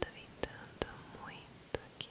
Tá ventando muito aqui.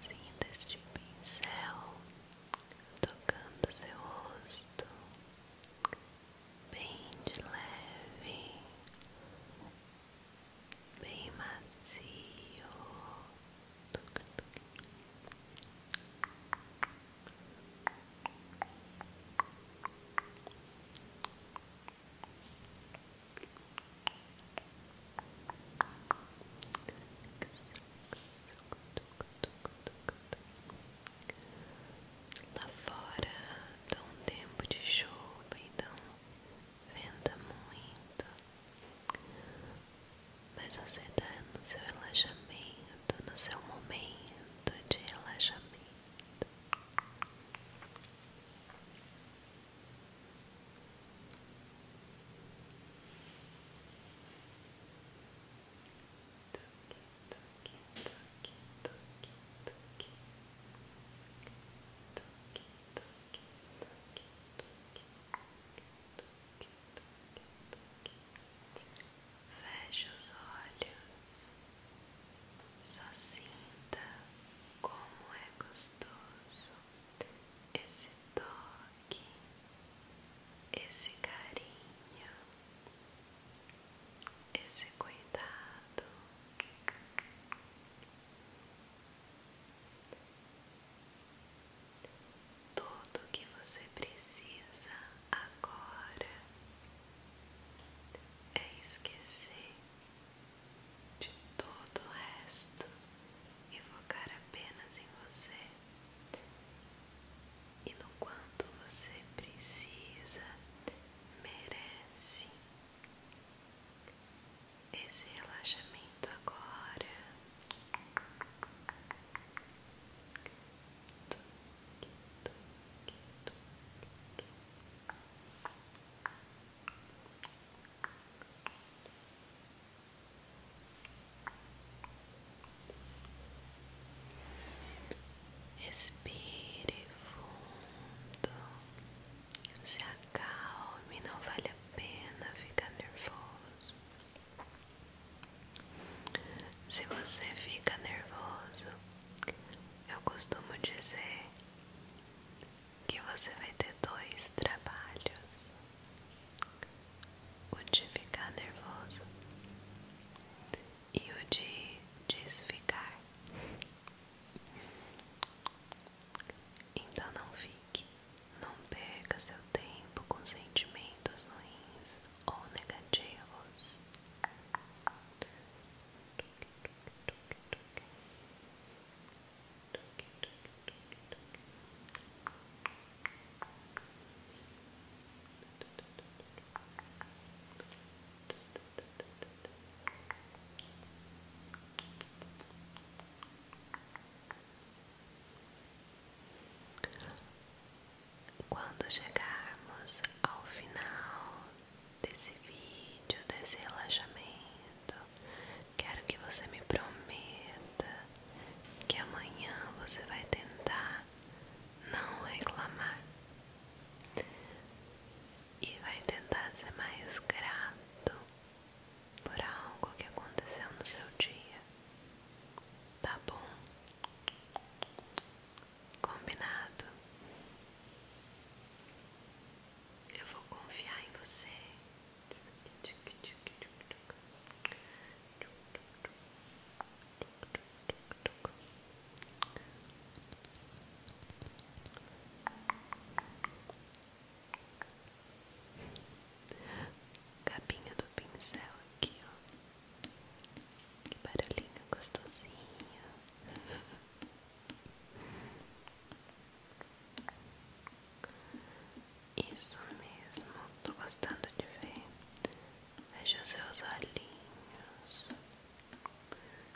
Mãozinha deste pincel tocando seu rosto bem de leve bem macio. Lá fora dá um tempo de chuva, então venda muito, mas você está no seu relaxamento, no seu momento de relaxamento. Toque, toque, toque, toque, toque, toque, toque, toque, toque, toque, toque. Feche os olhos, só sinta como é gostoso esse toque, esse carinho, esse cuidado. Tudo o que você precisa agora é esquecer de todo o resto e focar apenas em você e no quanto você precisa, merece esse relaxamento agora toque, toque, toque. Respire fundo. Se acalme, não vale a pena ficar nervoso. Se você fica nervoso, eu costumo dizer que você vai ter dois trabalhos: o de ficar nervoso e o de desficar. Então não fique, não perca seu tempo com sentimentos ruins ou negativos. Quando chegarmos ao final desse vídeo, desse relaxamento, quero que você me prometa que amanhã você vai tentar não reclamar e vai tentar ser mais grato por algo que aconteceu no seu dia. Tá bom? Combinado. Eu vou confiar em você. Capinha do pincel aqui, ó. Que barulhinho gostosinho. Isso mesmo, tô gostando de ver. Veja os seus olhinhos.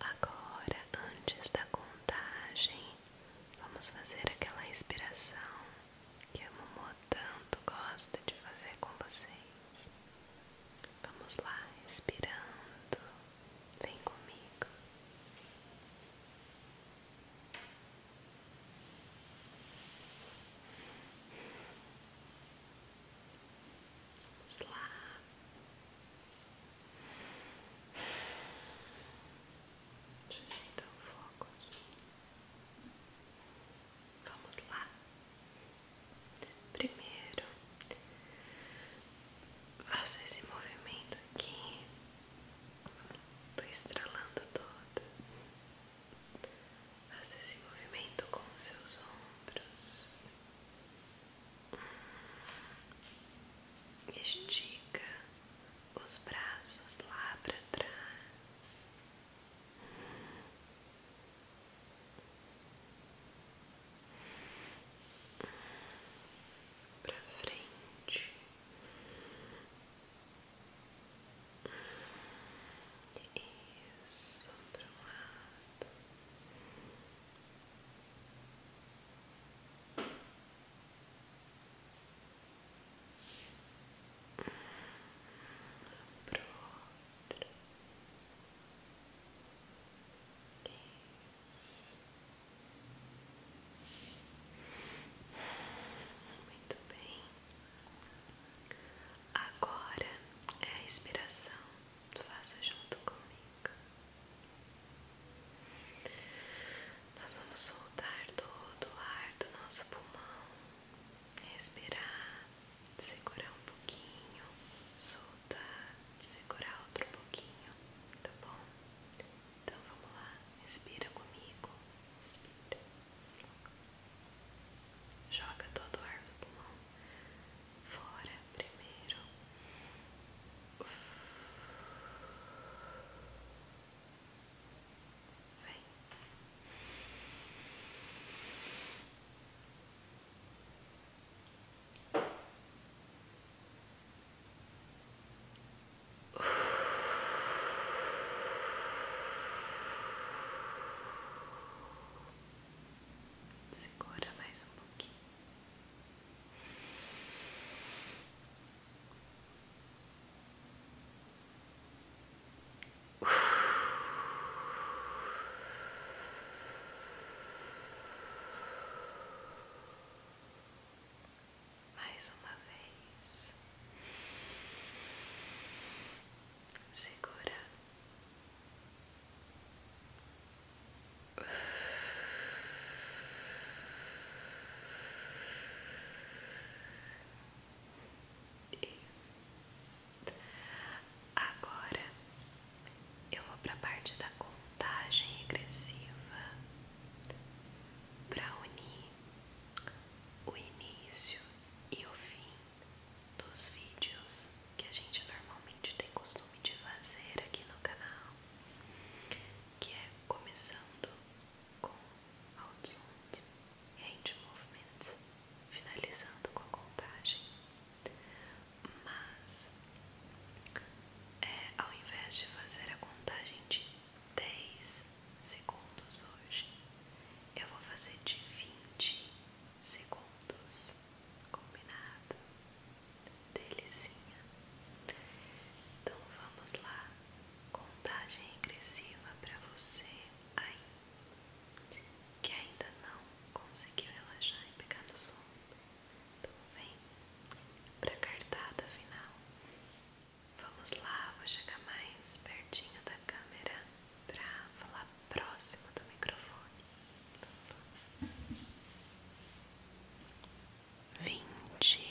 Agora, antes da contagem, vamos fazer aquela respiração que a Momô tanto gosta de fazer com vocês. Vamos lá, respirando. Vem comigo. Vamos lá. Deixa o foco aqui. Vamos lá. Primeiro, faça esse movimento aqui. Tô estralando toda. Faça esse movimento com os seus ombros. Hum. Estica os braços lá para trás. Hum pra frente isso para um lado para outro muito bem. Agora é a respiração. Faça junto comigo. Nós vamos soltar todo o ar do nosso pulmão, respirar segurar um pouquinho, soltar, segurar outro pouquinho, tá bom? Então vamos lá, respira comigo, respira, joga todo o ar do pulmão fora primeiro. Vem. Segura mais um pouquinho. Mais uma vez, segura. Isso. Agora eu vou para a parte da contagem regressiva para unir o início e o fim dos vídeos que a gente normalmente tem costume de fazer aqui no canal, que é começando com Out Sound and Movements finalizando com a contagem. Mas é, ao invés de fazer a contagem de 10 segundos hoje, eu vou fazer de 20 segundos. Combinado? Delicinha. Então vamos lá. Contagem regressiva para você aí que ainda não conseguiu relaxar e pegar no som, Então vem pra cartada final. Vamos lá, vou chegar mais pertinho da câmera pra falar próximo do microfone. Vamos lá. Vinte.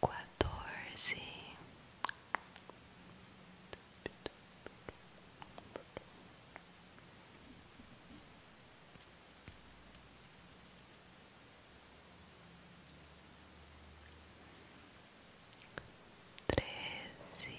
quatorze, treze.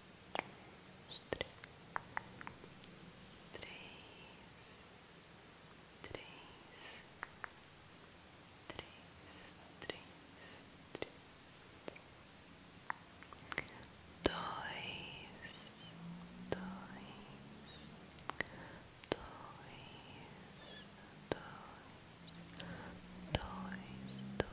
três, três, três, três, três, dois, dois, dois, dois, dois, dois.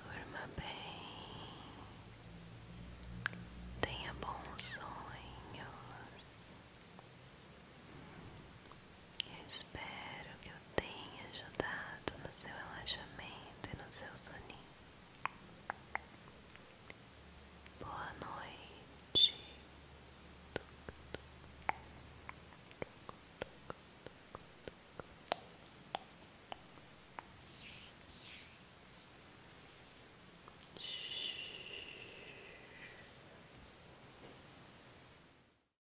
Durma bem, tenha bons sonhos. Eu espero que eu tenha ajudado no seu relaxamento e no seu soninho. Boa noite.